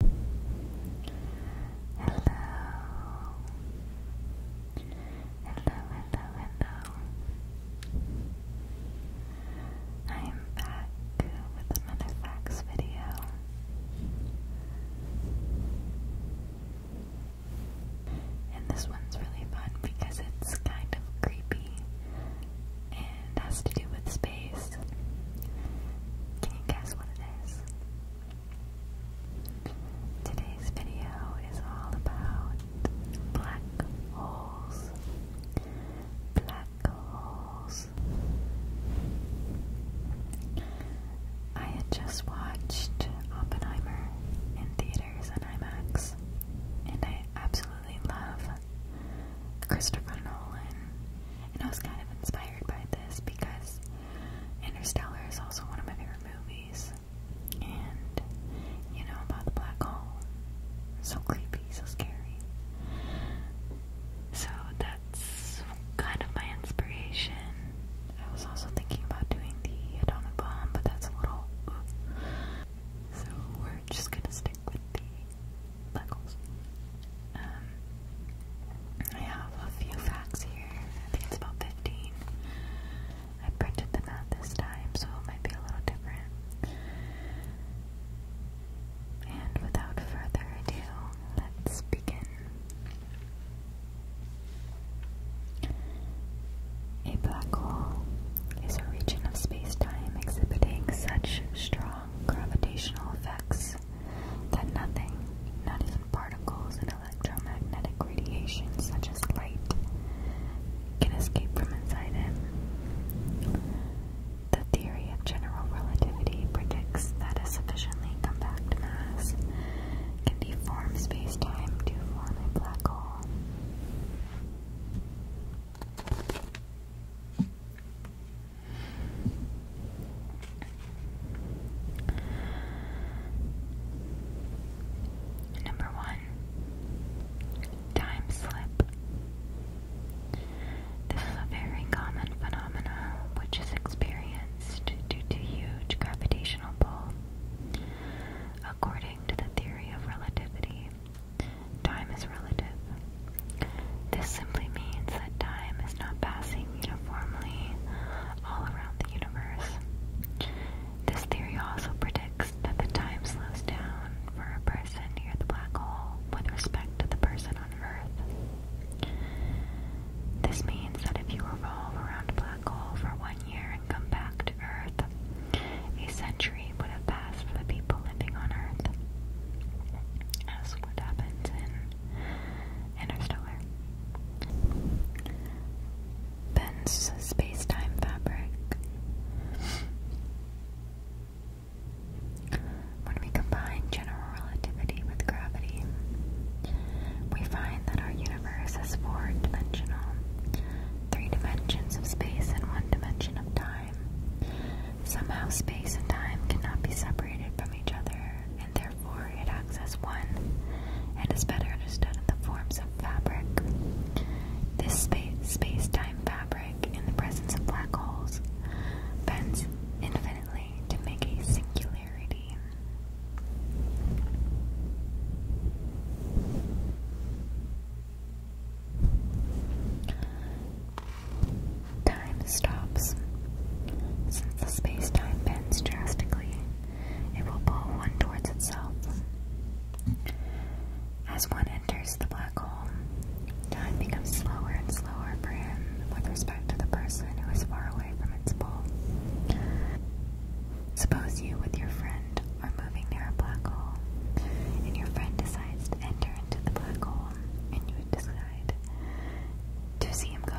Hello. Hello, hello, hello. I'm back with another facts video. And this one's really fun because it's kind of creepy and has to do with space. Can you guess what it is? Today's video is all about black holes. Black holes. I had just watched Oppenheimer in theaters and IMAX, and I absolutely love Christopher Nolan, and I was kind of inspired inspired by this because Interstellar is also one of my favorite movies. And you know about the black hole. So creepy, so scary. So that's kind of my inspiration. I was also thinking about doing the atomic bomb, but that's a little. Ooh. So we're just gonna stick with the black holes. Um, I have a few facts here. I think it's about 15. I printed them out this time, so it might be a little different. And without further ado, let's begin. A black hole is a region of space time exhibiting such strong gravitational effects that nothing, not even particles and electromagnetic radiation such as light, can escape from inside it. The theory of general relativity predicts that a sufficiently compact mass can deform space-time to form a black hole. Number one, time slip. This is a very common phenomenon which is experienced due to huge gravitational pull. According to the theory of relativity, Time is relative. This simply means that time is not passing uniformly all around the universe. This theory also predicts that the time slows down for a person near the black hole with respect to the person on Earth. This means that if you revolve around a black hole for one year and come back to Earth, a century would have passed for the people living on Earth, as what happens in Interstellar. Ben's space fabric. When we combine general relativity with gravity, we find that our universe is four-dimensional, three dimensions of space and one dimension of time. Somehow, space and time cannot be separated from each other, and therefore it acts as one and is better understood in the forms of fabric. This space time fabric, in the presence of black holes, bends infinitely to make a singularity. Time stops. Since the space-time bends drastically, it will pull one towards itself. As one enters the black hole, time becomes slower and slower for him with respect to the person who is far away from its pull. Suppose you, with your friend, are moving near a black hole, and your friend decides to enter into the black hole, and you decide to see him go.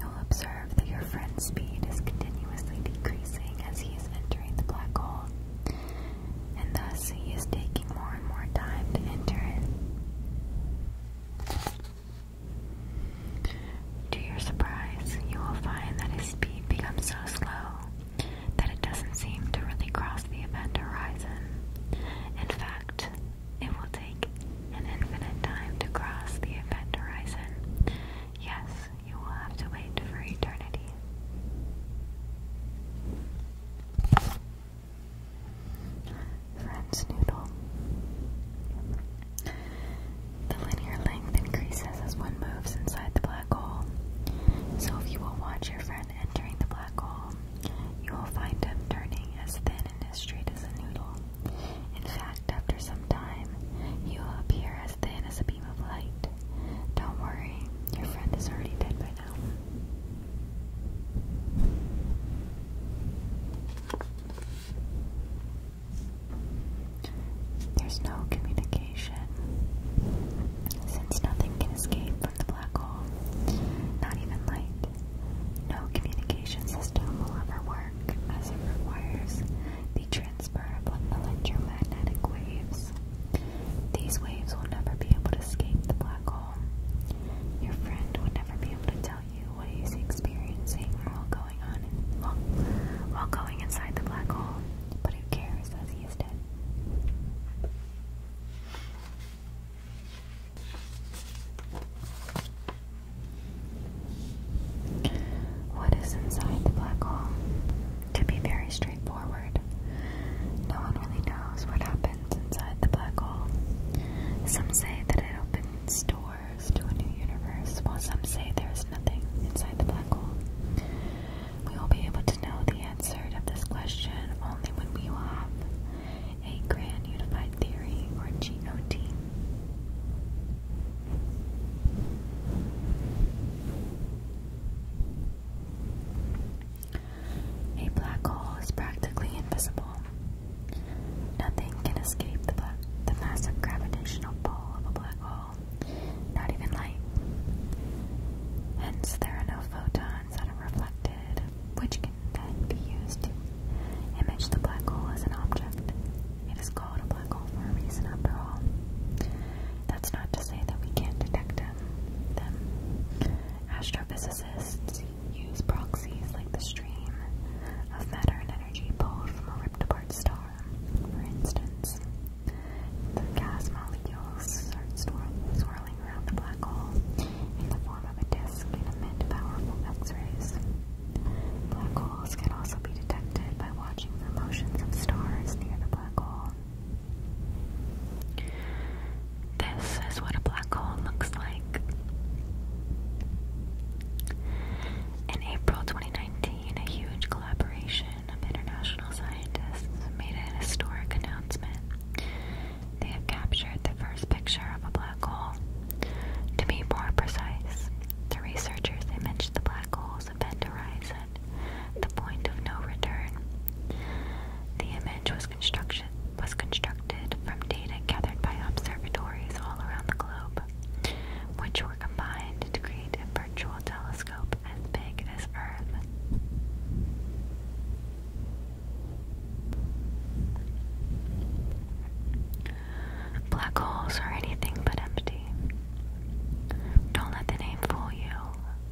You'll observe that your friend's speed is continuously decreasing as he is entering the black hole, and thus he is taking more and more time to enter it. To your surprise, you will find that his speed becomes so slow that it doesn't seem to really cross the event horizon. In fact, it will take an infinite time to cross the event horizon. Yes, you will have to wait for eternity. French noodle. The linear length increases as one moves inside the black so if you will watch your friend entering the black hole, you will find him turning as thin and as straight as a noodle. In fact, after some time, he will appear as thin as a beam of light. Don't worry, your friend is already dead by now. There's no communication, since nothing can escape from the black hole, not even light. No communication system will ever work, as it requires the transfer of electromagnetic waves. These waves will never be able to escape the black hole. Your friend would never be able to tell you what he's experiencing while going on while going inside the black hole. But who cares as he is dead? What is inside the black hole? To be very straightforward, no one really knows what happens inside the black hole. Some say that it opens doors to a new universe, while some say there is nothing inside the black hole. We will be able to know the answer to this question only when we have a grand unified theory or GOT. A black hole is practically invisible. Nothing can escape the massive gravitational pull of a black hole not even light. Hence, there are no photons that are reflected, which can then be used to image the black hole as an object. It is called a black hole for a reason, after all. That's not to say that we can't detect them. Astrophysicists use proxies like the stream of matter and energy pulled from a ripped apart star for instance, the gas molecules start swirling around the black hole in the form of a disk and powerful X-rays. Black holes can also be detected by watching the motions of stars near the black hole. This is what a black hole looks like. In April 2019, 2015, a huge collaboration of international scientists made an historic announcement. They have captured the first picture of a black hole. To be more precise, the researchers imaged the black hole's event horizon, the point of no return. The image was construction was constructed from data gathered by observatories all around the globe, which were combined to create a virtual telescope as big as Earth. Black holes are anything but empty. Don't let the name fool you.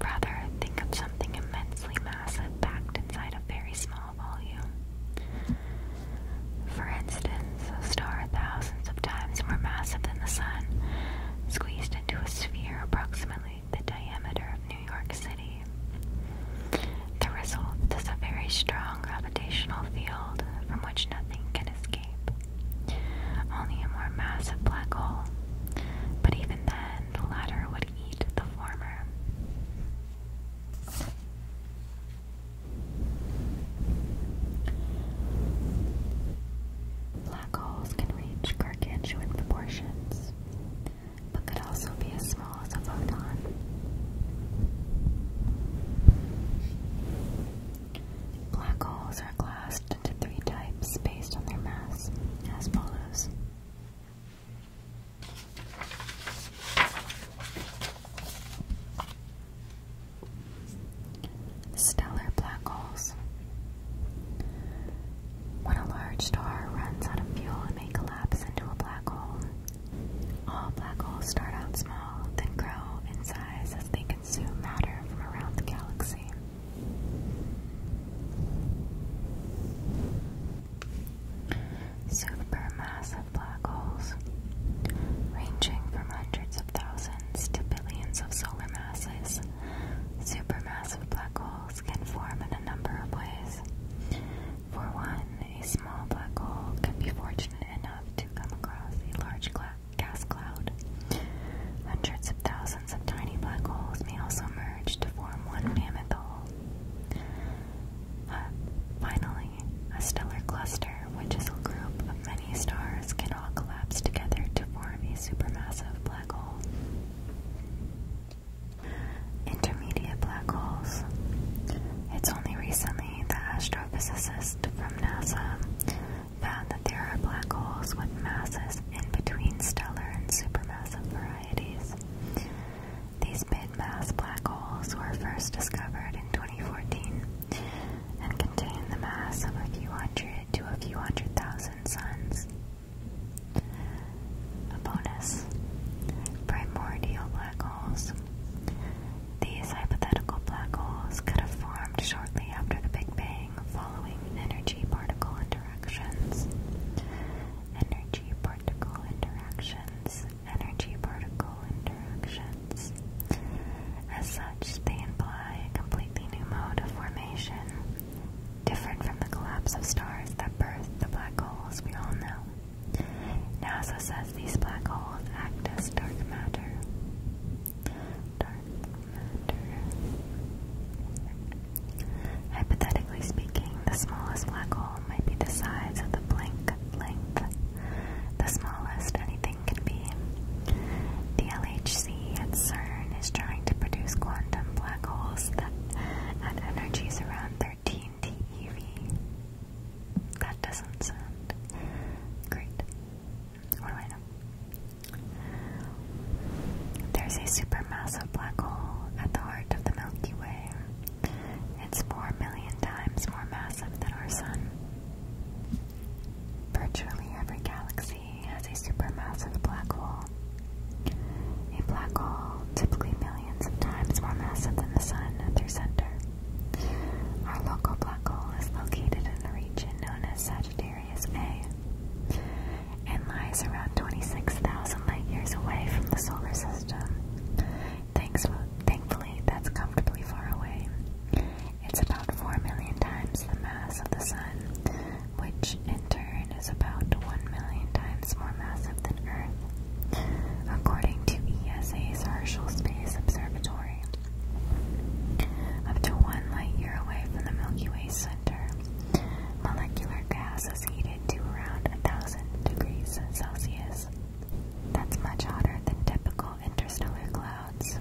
Rather, think of something immensely massive packed inside a very small volume. For instance, a star thousands of times more massive than the Sun, squeezed into a sphere approximately the diameter of New York City. The result is a very strong gravitational field from which nothing can escape, only a more massive black hole. But even then, the latter would eat the former. Black holes can reach gargantuan proportions, but could also be as small as a photon. Black holes are classed into three types based on their mass, as follows. Stellar black holes. When a large star runs out of fuel, it may collapse into a black hole. All black holes start out small, then grow in size as they consume matter from around the galaxy. Supermassive black holes, ranging from hundreds of thousands to billions of solar masses. Supermassive black holes can form in a number of ways. For one, a small black hole can be fortunate enough to come across a large gas cloud. Hundreds of thousands of tiny black holes may also merge to form one mammoth hole finally, a stellar cluster, which is a group of many stars, can all collapse together to form a supermassive black hole. Intermediate black holes. It's only recently that astrophysicists from NASA found that there are black holes with masses in between stellar and supermassive varieties. These big mass black holes were first discovered in 2014 and contain the mass of a few hundred to a few hundred thousand suns. A bonus primordial black holes. These hypothetical black holes could have formed shortly after the Big Bang following energy particle interactions. Energy particle interactions energy particle interactions. As such, they imply a completely new mode of formation, different from the collapse of stars that birthed the black holes we all know. NASA says these black holes act as dark matter. Dark matter. Hypothetically speaking, the smallest black hole might be the size of the blink length the smallest anything can be. The LHC at CERN is trying to produce quantum black holes that at energies around 13 TeV. That doesn't sound great. What do I know? There's a supermassive black hole at the heart of the Milky Way. It's four million times more massive than our Sun. Virtually every galaxy has a supermassive black hole. A black hole, typically millions of times more massive than the Sun at their center. Our local black hole is located in the region known as Sagittarius A and lies around 26,000 light years away from the solar system Thanks, thankfully, that's comfortably far away. It's about 4 million times the mass of the Sun, which in turn is about 1 million times more massive than Earth, according to ESA's Herschel Space Observatory. Up to one light year away from the Milky Way center, molecular gas is heated to around 1000 degrees Celsius. That's much hotter than typical interstellar clouds,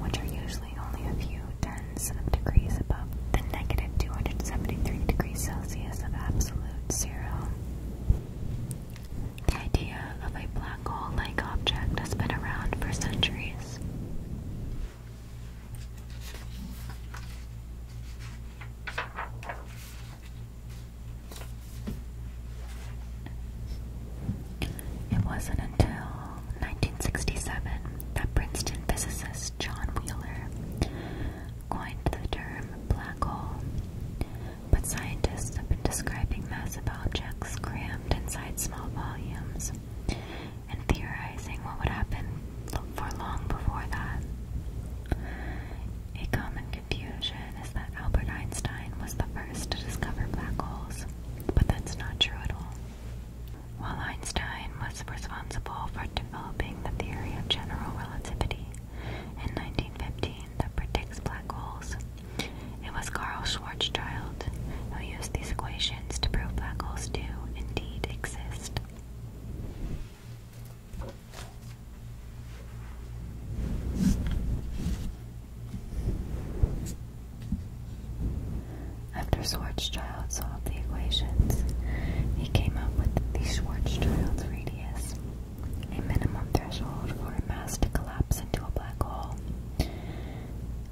which are usually only a few tens of degrees above the negative 273 degrees Celsius of absolute zero. The idea of a black hole like object has been around for centuries. It wasn't until 1967 that Princeton physicist John Wheeler coined the term black hole, but scientists have been describing massive objects crammed inside small volumes and theorizing what would happen for long before that. A common confusion is that Albert Einstein was the first to discover black holes, but that's not true at all. While Einstein was responsible for developing the theory of general relativity in 1915 that predicts black holes, it was Carl Schwarzschild who used these equations to prove black holes do indeed exist. After Schwarzschild solved the equations, he came up with the Schwarzschild radius, a minimum threshold for a mass to collapse into a black hole.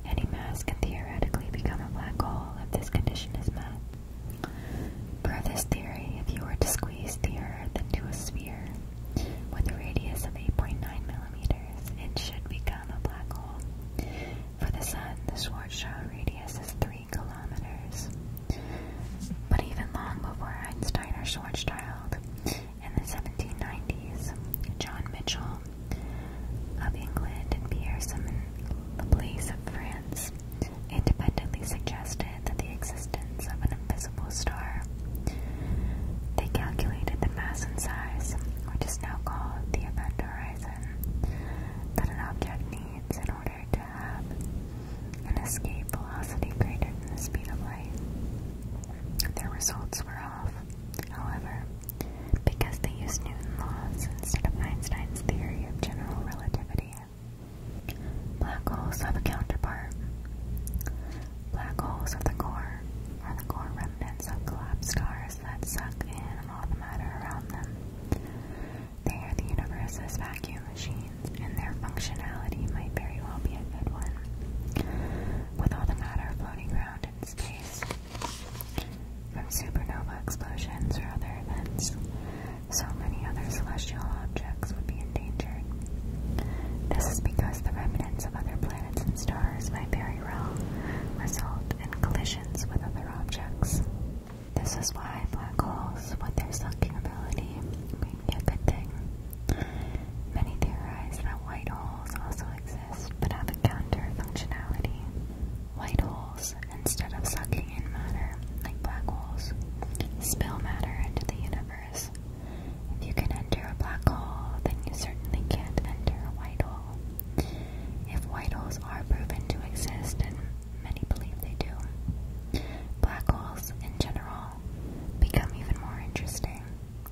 Any mass can theoretically become a black hole if this condition is met. Per this theory, if you were to squeeze the Earth into a sphere with a radius of 8.9 millimeters, it should become a black hole. For the Sun, the Schwarzschild radius is 3 kilometers. But even long before Einstein or Schwarzschild, in the 1790s, John Mitchell of England and Pierre Simon Laplace of France independently suggested that the existence of an invisible star. They calculated the mass and size, which is now called the event horizon, that an object needs in order to have an escape velocity greater than the speed of light. Their results were off, however, because they used Newton's laws instead of Einstein's theory of general relativity. Black holes have a counterpart. Black holes of the core are the core remnants of collapsed stars that suck in all the matter around them. They are the universe's vacuum machines, and their functionality might very well be a good one. With all the matter floating around in space, from supernova explosions or other events, so many other celestial objects would be endangered. This is because the remnants of other planets and stars might very well result in collisions with other objects. This is why black holes, with their sucking ability, may a good thing. Many theorize that white holes also exist but have a counter functionality. White holes, instead of sucking in matter like black holes, spill matter into the universe. If you can enter a black hole, then you certainly can't enter a white hole. If white holes are proven to exist, and many believe they do, black holes in general become even more interesting.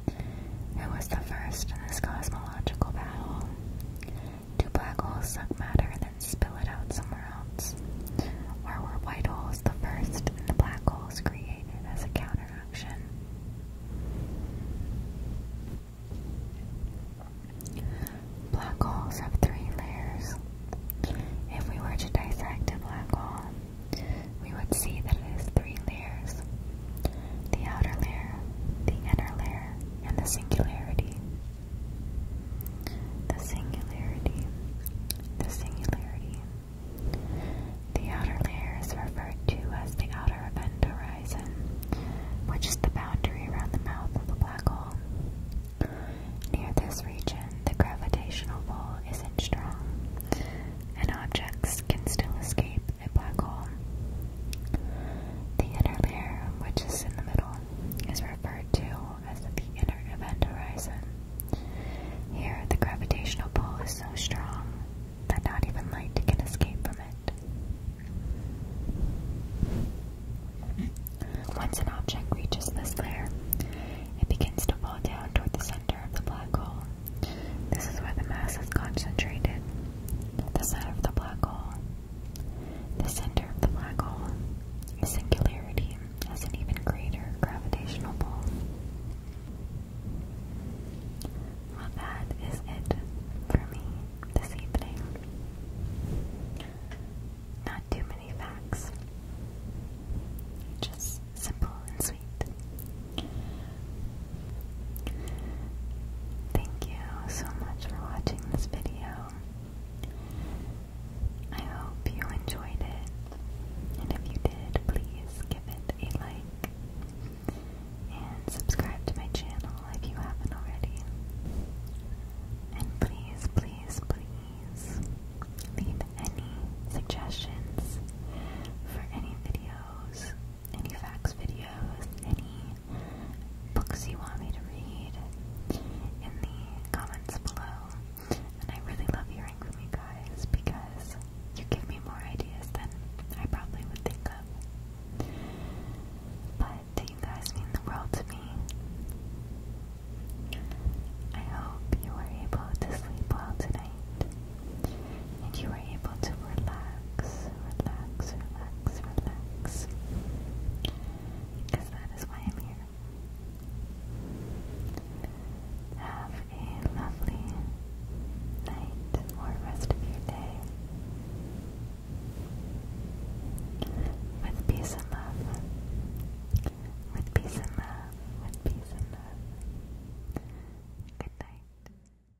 It was the first in this cosmological battle. Do black holes suck matter and then spill it out somewhere else? Or were white holes the first and the black holes created as a counteraction? Black holes have three layers. If we were to dissect a black hole, we would see that it has three layers the outer layer, the inner layer, and the singularity. The singularity. The singularity. The outer layer is referred to as the outer event horizon, which is the boundary around the mouth of the black hole. Near this region, the gravitational pull isn't strong, and objects can still escape a black hole. The inner layer, which is in the middle, is referred to as the inner event horizon. Here, the gravitational pull is so strong that not even light can escape from it. Once an object reaches this layer, it begins to fall down toward the center of the black hole. This is where the mass is concentrated. The center of the black hole the center of the black hole, the singularity, has an even greater gravitational pull. Well, that is it for me this evening. Not too many facts, just simple and sweet. Thank you so much for watching this video. I hope you enjoyed it, and if you did, please give it a like and subscribe to my channel if you haven't already. And please, please, please leave any suggestions for any videos, any facts videos, any books you want me to read in the comments below. And I really love hearing from you guys because you give me more ideas than I probably would think of. But you guys mean the world to me. I hope you were able to sleep well tonight. And you are able to relax, relax, relax, relax. Because that is why I'm here. Have a lovely night or rest of your day. With peace and love. With peace and love. With peace and love. Good night.